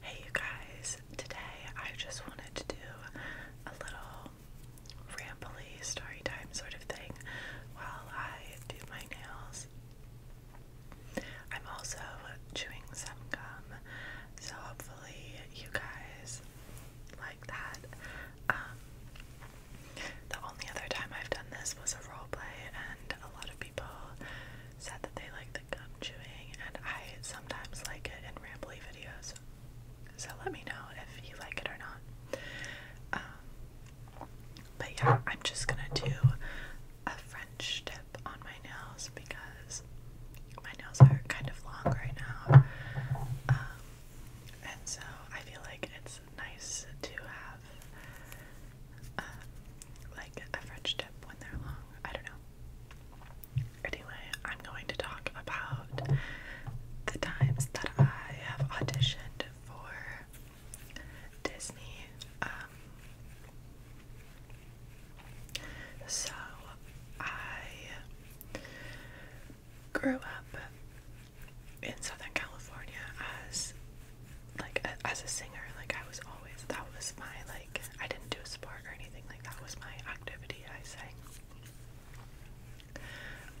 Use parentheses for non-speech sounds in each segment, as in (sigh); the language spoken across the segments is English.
Hey you guys, today I just wanted to do a little rambly story time sort of thing while I do my nails. I'm also chewing some gum, so hopefully you guys like that. Um, the only other time I've done this was a role play, and a lot of people said that they like the gum chewing, and I sometimes like it in rambly videos. So let me know if you like it or not. Um, but yeah, I'm just gonna do a French tip on my nails because my nails are kind of long right now. Um, and so I feel like it's nice to have uh, like a French tip when they're long. I don't know. Anyway, I'm going to talk about the times that I have auditioned for Disney. Um, so, I grew up in Southern California as like as a singer, like I was always that was my like I didn't do a sport or anything like that was my activity. I sang,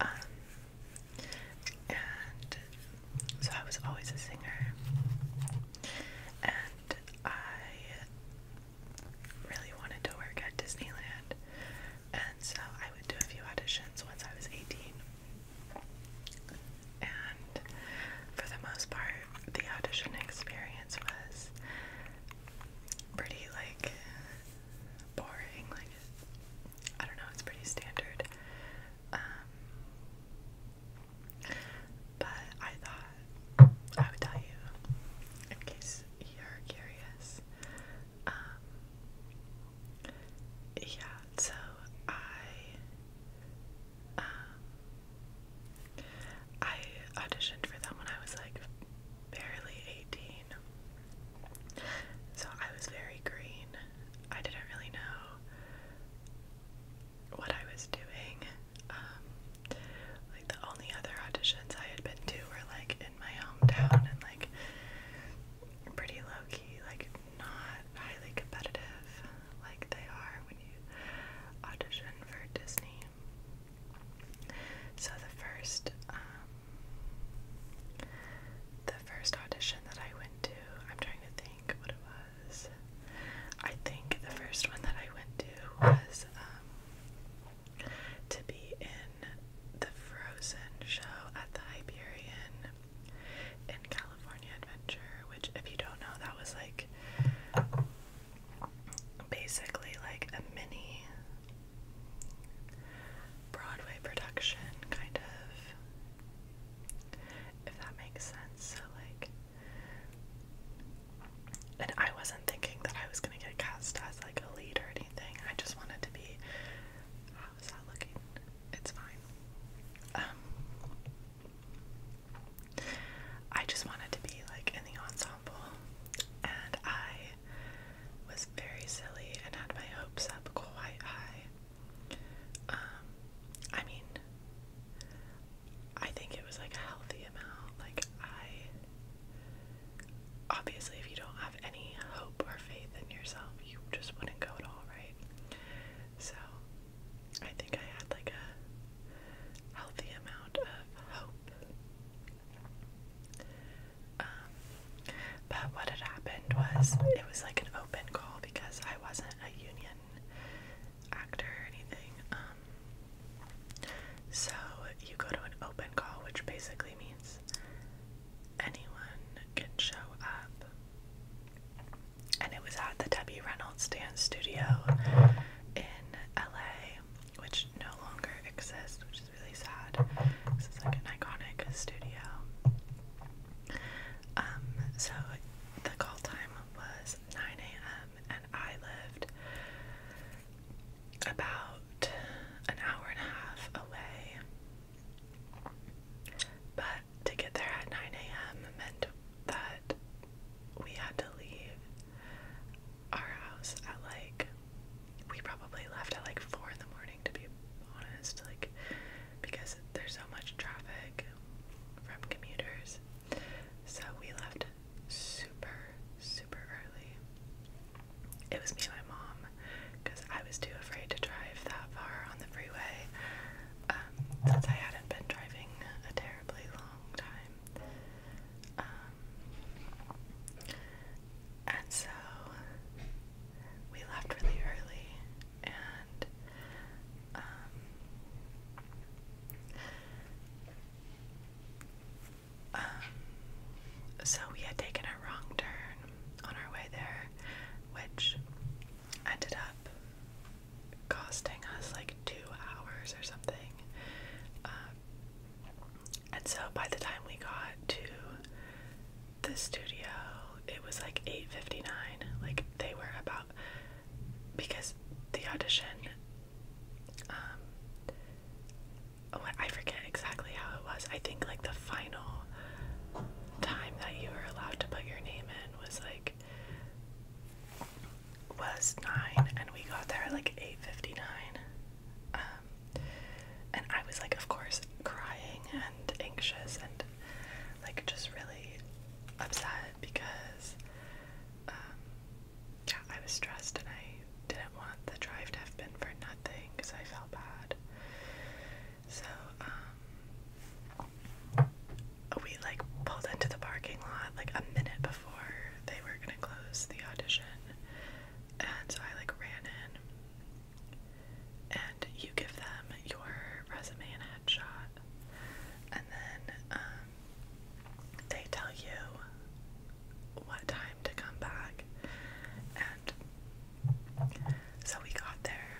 um, and so I was always a singer, and I really wanted to work at Disneyland, and so I would do a few auditions once I was eighteen and for the most part, the audition experience was pretty like boring. Like I don't know, it's pretty standard. Um, but I thought I would tell you in case you're curious. Um, yeah, so I um, I auditioned for them when I was like barely 18. So I was very green. I didn't really know what I was doing. Um, like the only other auditions I had been to were like in my hometown and like pretty low key, like not highly competitive like they are when you audition for Disney. So the first um, the first audition that I went to, I'm trying to think what it was. I think the first one that I went to was um, to be in the Frozen show at the Hyperion in California. California Adventure, which, if you don't know, that was like basically like a mini Broadway production, kind of, if that makes sense. So, like, and I wasn't thinking that I was gonna get cast as like a lead or anything, I just wanted to be. How's that looking? It's fine. Um, I just wanted to be like in the ensemble, and I was very silly and had my hopes up quite high. Um, I mean, I think it was like a healthy amount. Like, I obviously, if you don't have any hope or faith in yourself, you just wouldn't go at all, right? So I think I had like a healthy amount of hope. Um, but what had happened was it was like an open call because I wasn't a union actor or anything. Um, so you go to an open call, which basically means anyone can show up and it was at the Debbie Reynolds Dance Studio in LA, which no longer exists, which is really sad. This is like an iconic studio. Um, so the call time was 9 a.m., and I lived about an hour and a half away. But to get there at 9 a.m. meant that we had to leave our house at like we probably left at like four in the morning to be honest, like because there's so much traffic from commuters. So we left super, super early. It was me and my mom because I was too afraid to drive that far on the freeway um, since I hadn't been driving a terribly long time. Um, and so we left really early, and um, so we had taken a wrong turn on our way there, which ended up costing us like two hours or something. Um, and so by the time we got to the studio, it was like 8:59. Like they were about because the audition um oh, I forget exactly how it was. I think like the final time that you were allowed to put your name in was like was nine, and we got there at like eight fifty nine. Um, and I was like, of course, crying and anxious and like just really upset because um, yeah, I was stressed and I didn't want the drive to have been for nothing because I felt bad. So um, we like pulled into the parking lot like a minute before they were gonna close the audition, and so I like ran in. And you give them your resume and headshot, and then um, they tell you what time to come back. And so we got there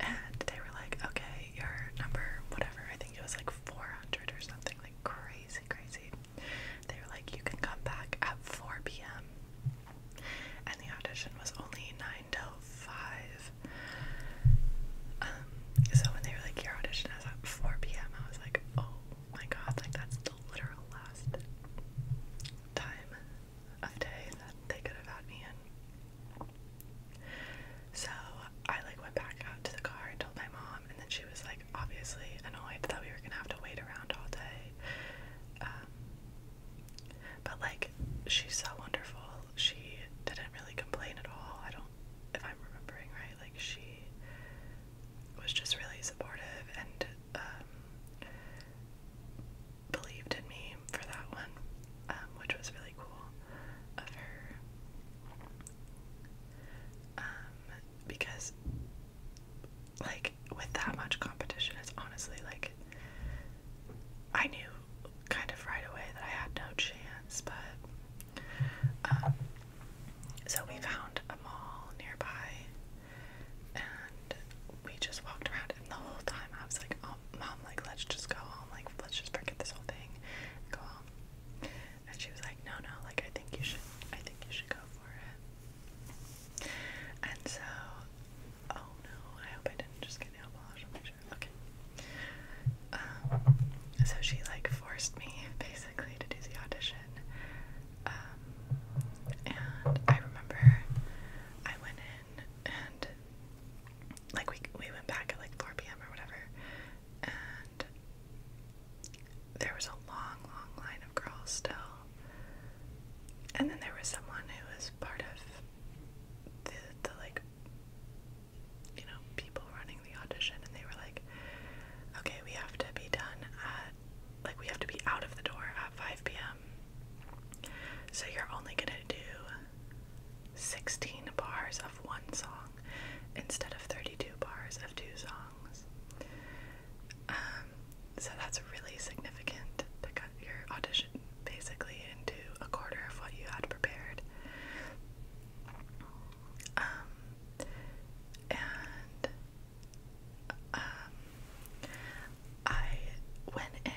and they were like, okay, your number, whatever, I think it was like 400 or something, like crazy, crazy. They were like, you can come back at 4 p.m. And the audition was only 9 to 5. Um, so when they were like, your audition is at 4 p.m., I was like, oh my god, like that's the literal last time of day that they could have had me in. So I like went back out to the car and told my mom, and then she was like obviously annoyed that we were gonna have to wait around all day. Um, but like she's so wonderful. She didn't really complain at all. I don't, if I'm remembering right, like she was just really supportive and um, believed in me for that one, um, which was really cool of her. Um, because, like, with that much competition, it's honestly like I knew kind of right away that I had no chance, but um, so we found a mall nearby and we just walked around the whole time I was like, oh, mom, like, let's just go home. Like, let's just forget this whole thing and go home. And she was like, no, no, like, I think you should, I think you should go for it. And so, oh no, I hope I didn't just get nail polish on my shirt. Okay. Um, so she, like, forced me, (laughs) basically, to do the audition. Um, and I remember I went in and like we we went back at like 4 p.m. or whatever, and there was a long, long line of girls still. And then there was someone who was part of the the like you know people running the audition, and they were like, "Okay, we have to be done at like we have to be out of the door at 5 p.m. So you're only gonna do 16 bars of one song instead of 32 bars of two songs. Um, so that's really significant to cut your audition basically into a quarter of what you had prepared. Um, and um, I went in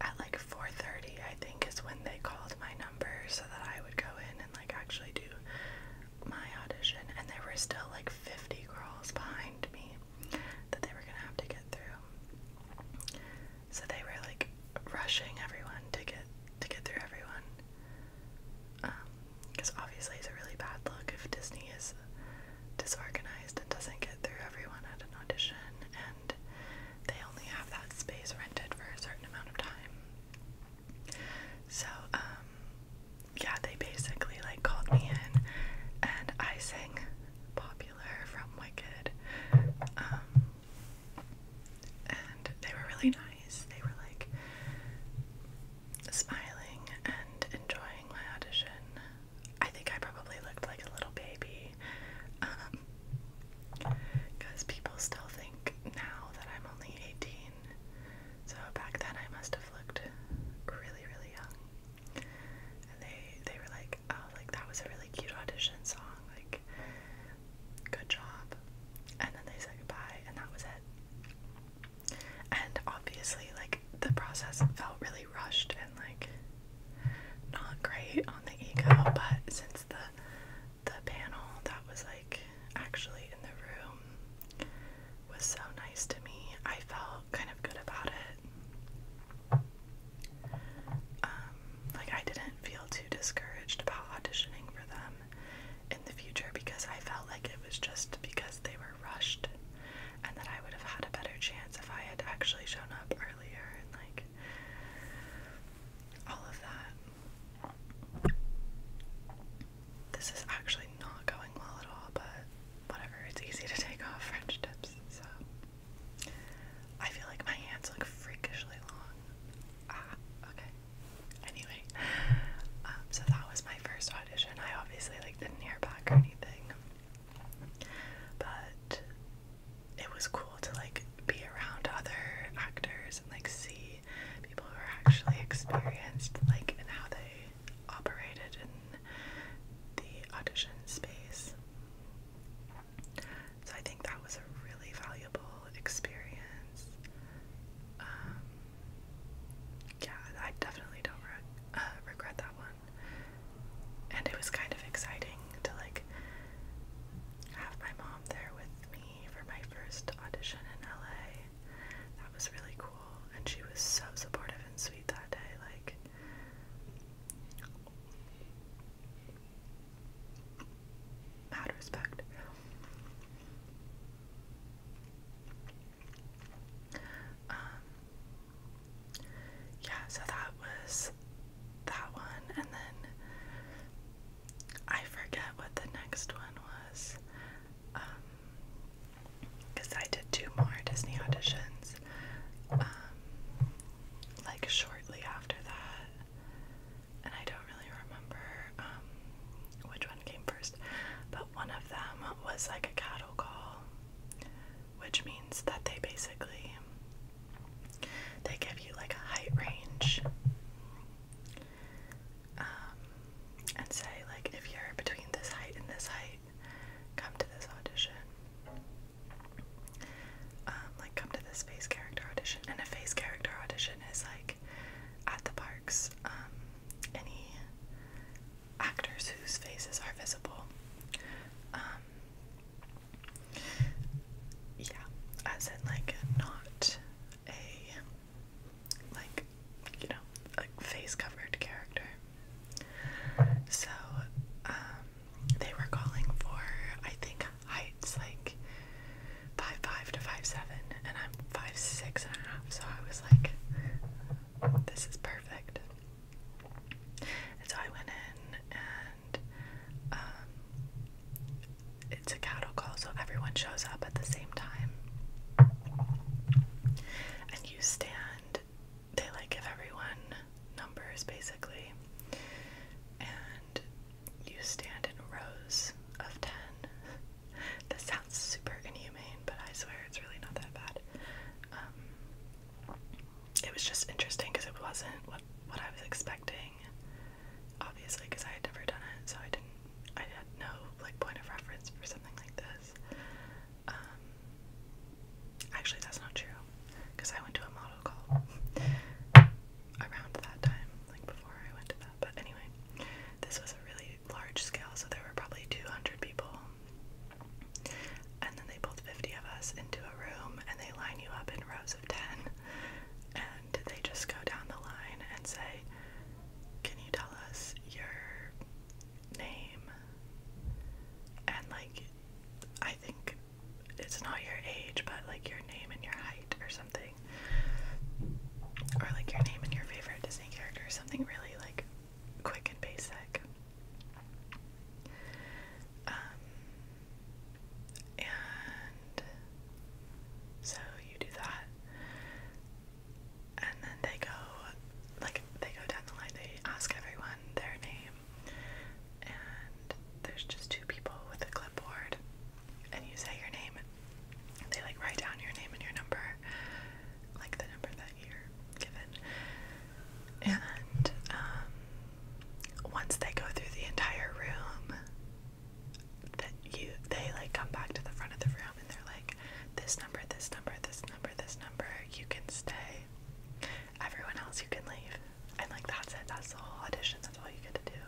at like 4:30, I think, is when they called my number so that I would go in and like actually do my audition. And there were still like 50 girls behind me that they were gonna have to get through. So they were like rushing everyone to get to get through everyone. because um, obviously it's a really bad look if Disney is disorganized and doesn't get through everyone at an audition, they only have that space rented for a certain amount of time. So, um, yeah, they basically like called me in and I sang Popular from Wicked. Um, and they were really nice. They were like smiling and enjoying my audition. I think I probably looked like a little baby. because um, people still think now that I'm only 18. So back then I must have looked really, really young. And they they were like, oh, like that was a really cute audition song. Like, good job. And then they said goodbye, and that was it. And obviously, like the process felt really rushed and like not great on the ego, but since the the panel that was like actually in the room was so nice to me, I felt kind of good about it. Um, like I didn't feel too discouraged about auditioning for them in the future because I felt like it was just because they were rushed and that I would have had a better chance if I had actually shown up earlier all of that. This is actually not going well at all, but whatever, it's easy to take off French tips, so. I feel like my hands look freakishly long. Ah, okay. Anyway, um, so that was my first audition. I obviously like didn't hear back or anything, but it was cool to like be around other actors and like see people who are actually experienced like and how they operated in the audition space. So I think that was a really valuable experience. Um, yeah, I definitely don't uh, regret that one and it was kind of exciting to like have my mom there with me for my first audition in LA. That was really cool, and she was so supportive and sweet that day. Like, mad respect. Um, yeah, so that was that one, and then I forget what the next one was. Because um, I did two more Disney auditions, um, like shortly after that, and I don't really remember um, which one came first, but one of them was like a cattle call which means that they basically they give you like a height range um, and say like if you're between this height and this height, come to this audition. Um, like come to this face character audition, and a face character audition is like at the parks. Um, any actors whose faces are visible. Um, yeah, as in like not a like you know like face covered character. So um, they were calling for I think heights like five five to five seven, and I'm five six and a half. So I was like, this is perfect so I went in, and um, it's a cattle call, so everyone shows up at the same time. And you stand, they like give everyone numbers basically, and you stand in rows of 10. this sounds super inhumane, but I swear it's really not that bad. Um, it was just interesting because it wasn't what I was expecting. Obviously, because I had never done it, so I didn't. I had no like point of reference for something like this. Um, actually, that's not true, because I went to a model call (laughs) around that time, like before I went to that. But anyway, this was a really large scale, so there were probably 200 people and then they pulled 50 of us into a room and they line you up in rows of 10. And they just go down the line and say, Can you tell us your name? And like, I think it's not your age, but like your name and your height or something. Or like your name and your favorite Disney character, something really like quick and basic. Um, and so you do that, and then they go, like, they go down the line, they ask everyone their name, and there's just two people with a clipboard, and you say your name, and they, like, write down your name and your number, like the number that you're given. And um, once they go through the entire room, that you they like come back to the front of the room and they're like, this number, this number, this number, this number, you can stay. Everyone else, you can leave. And like that's it. That's the whole audition. That's all you get to do.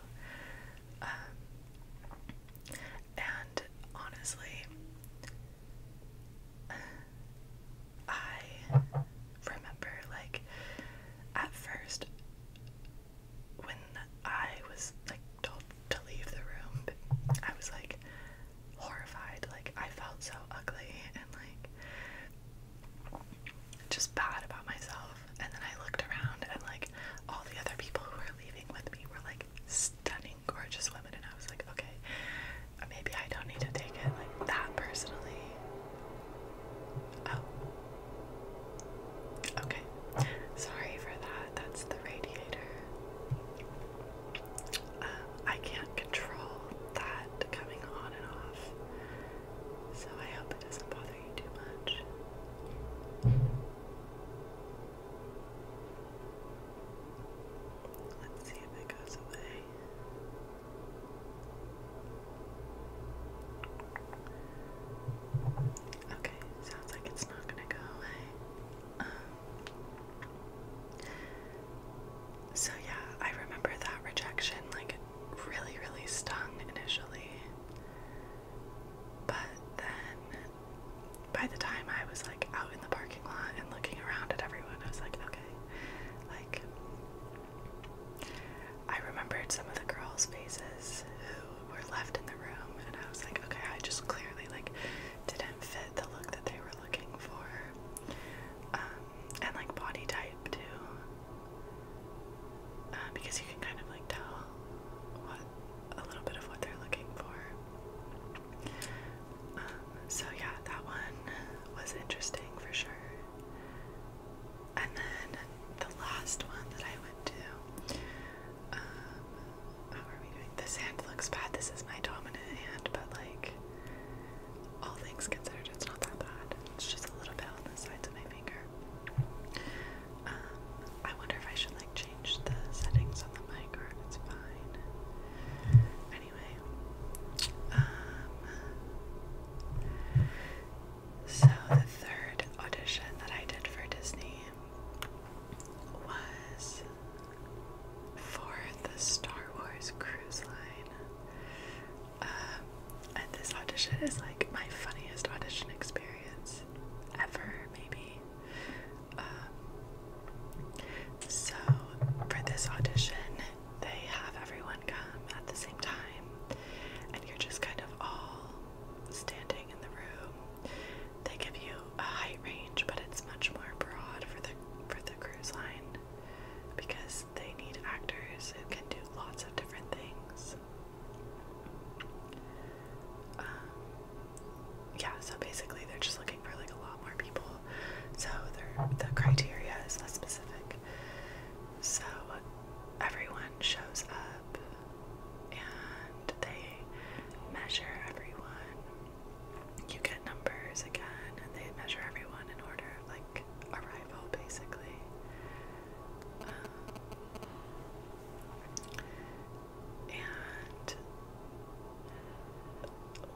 Um, and honestly, I remember, like, at first, when I was like told to leave the room, I was like horrified. Like, I felt so ugly and like just bad about myself. And then I looked around, and like all the other people who were leaving with me were like stunning, gorgeous women, and I was like, okay, maybe I don't need to take it like that personally. Oh. Okay. Sorry for that. That's the radiator. Um, I can't control that coming on and off. So I hope it doesn't bother you too much. Let's see if it goes away. Okay, sounds like it's not gonna go away. Um, so yeah, I remember that rejection like really, really stung initially. But then by the time I was like out in the parking lot and looking around at everyone, I was like, okay. Like, I remembered some of the girls' faces who were left in the room, and I was like, okay, I just clearly like didn't fit the look that they were looking for, um, and like body type too, uh, because you can kind of like tell what a little bit of what they're looking for so yeah, that one was interesting for sure. And then the last one that I went to, um, how are we doing? This hand looks bad. This is my dominant hand, but like, all things considered, it's not that bad. It's just a little bit on of my finger. Um, I wonder if I should like change the settings on the mic or it's fine. Um, so the third audition that I did for Disney was for the Star Wars cruise line. Um, and this audition is like my funniest audition experience ever, maybe. Um, so, for this audition, they have everyone come at the same time, and you're just kind of all standing in the room. They give you a height range, but it's much more broad for the for the cruise line because they need actors who can do lots of different things. Um, yeah, so basically they're just looking for like a lot more people so the criteria is less specific. So everyone shows up and they measure everyone. You get numbers again and they measure everyone in order of like arrival basically. Um, and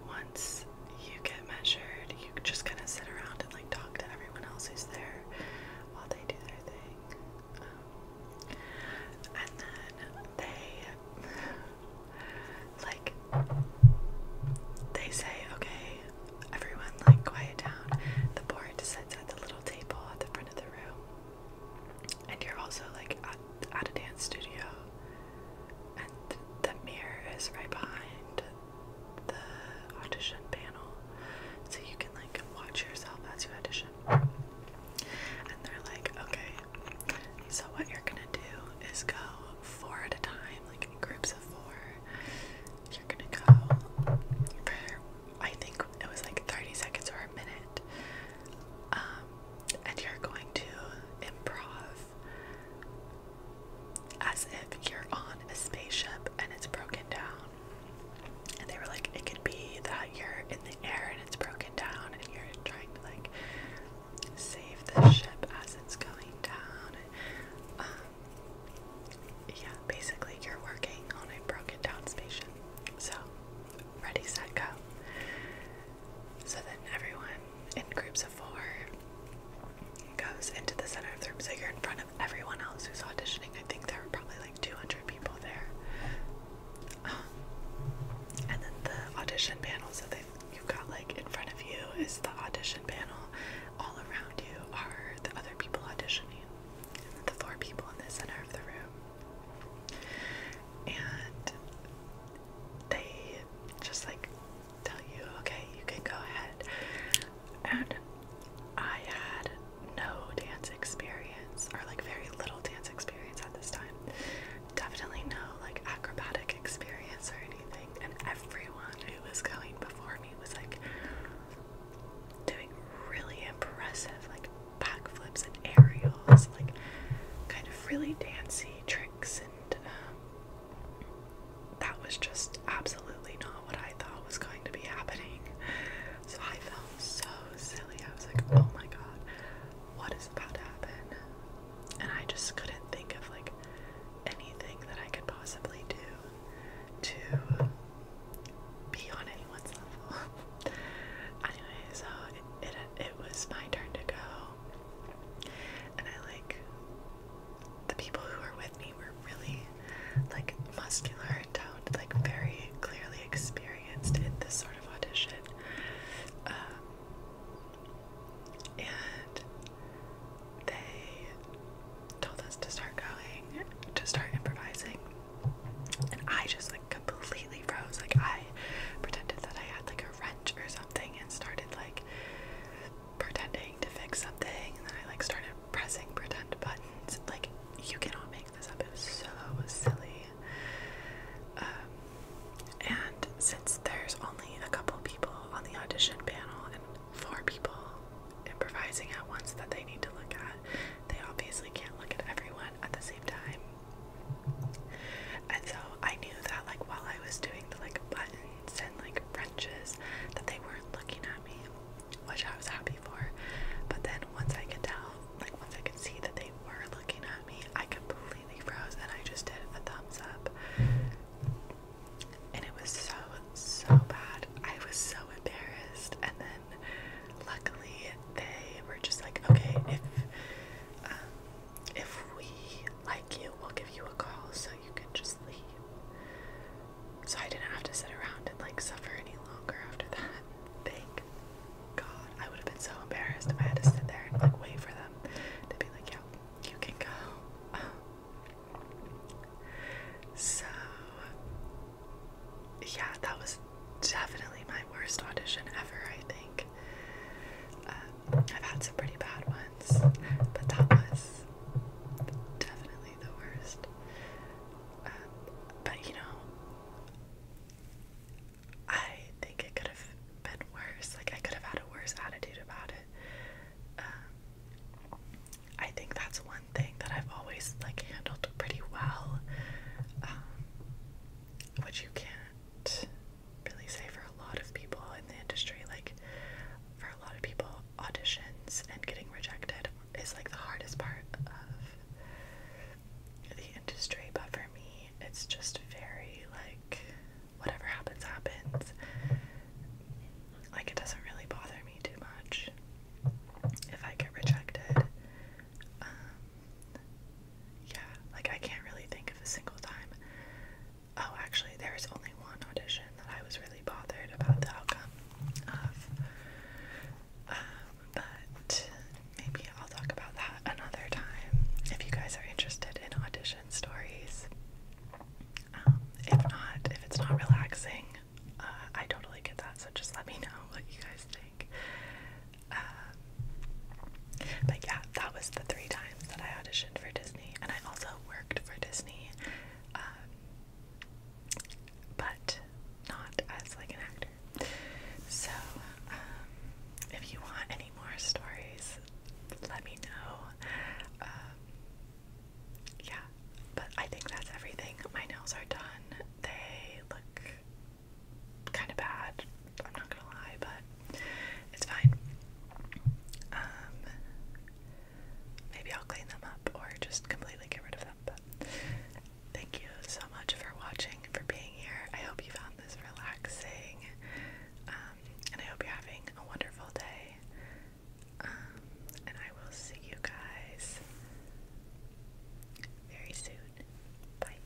once you get measured, you just kind of sit around and like talk to everyone else who's there while they do their thing. Um, and then they (laughs) like they say, okay, everyone like quiet down. The board sits at the little table at the front of the room. And you're also like at, at a dance studio, and the mirror is right behind the audition panel, so you can like watch yourself as you audition. And they're like, okay, so what you're gonna do is go four at a time, like groups of four. You're gonna go I think it was like 30 seconds or a minute. Um, and you're going to improv as if you're on a spaceship and it's broken down. And they were like, it could be that you're in the air and it's broken down and you're trying to like save the ship as it's going down. Um, yeah, basically you're working on a broken down spaceship. So, ready, set, go. So then everyone in groups of four goes into the center of the room so you're in front of everyone else who's auditioning. I think there are probably like 200 people there. Um, and then the audition panel, so they, you've got like in front of you is the audition panel, all around you are the other people auditioning, and the four people in the center of the room. And they just like tell you, okay, you can go ahead. And I had no dance experience, or like very little dance experience at this time. Definitely no like acrobatic experience or anything. And everyone who was going before me was like doing really impressive, like backflips and aerials, like kind of really dancey tricks um, that was just absolutely not what I thought was going to be happening. So I felt so silly. I was like, oh my god, what is about to happen? And I just couldn't think of like anything that I could possibly do to be on anyone's level. (laughs) anyway, so it, it it was my turn to go and I like the people who were with me were really like muscular and toned, like very clearly experienced in this sort of audition. Um, and they told us to start going, to start improvising. And I just like completely froze. Like I pretended that I had like wrench or something and started like pretending to fix something and then I like started pressing pretend buttons. Like you cannot make this up. It was so silly. Um, and since there's only a couple people on the audition panel and four people improvising at once that they need to look at, they obviously can't look at everyone at the same time. And so I knew that like while I was doing the like buttons and like wrenches that they weren't looking at me, which I was happy for. But then once I could tell, like once I could see that they were looking at me, I completely froze and I just did a thumbs up. And it was so, so bad. I was so embarrassed. And then luckily they were just like, okay, if um, if we like you, we'll give you a call so you can just leave. So I didn't have to sit around and like suffer any longer after that. (laughs) Thank God. I would have been so embarrassed if I had to sit there and like wait for them to be like, yeah, you can go. Um, so yeah, that was definitely my worst audition ever, I think. Uh, I've had some pretty bad ones, but that was definitely the worst. Uh, but you know, I think it could have been worse. Like, I could have had a worse attitude about it. Um, I think that's one thing that I've always like handled pretty well, um, you can't really say for a lot of people in the industry, like for a lot of people, auditions and getting rejected is like the hardest part of the industry. But for me, it's just very like whatever happens, happens. Like it doesn't really bother me too much if I get rejected. Um, yeah, like I can't really think of a single time. Oh, actually, there was only one audition that I was really bothered about the outcome of. Um, but maybe I'll talk about that another time if you guys are interested in audition stories. Um, if not, if it's not relaxing, uh, I totally get that, so just let me know what you guys think. Um, but yeah, that was the three times that I auditioned for Disney, and I also worked for Disney, um, but not as like an actor. So, um, if you want any more stories, let me know. yeah, but I think that's everything. My nails are done. They look kind of bad. I'm not gonna lie, but it's fine. Um, maybe I'll clean them up or just completely get rid of them. But thank you so much for watching, for being here. I hope you found this relaxing, um, and I hope you're having a wonderful day. Um, and I will see you guys very soon. Bye.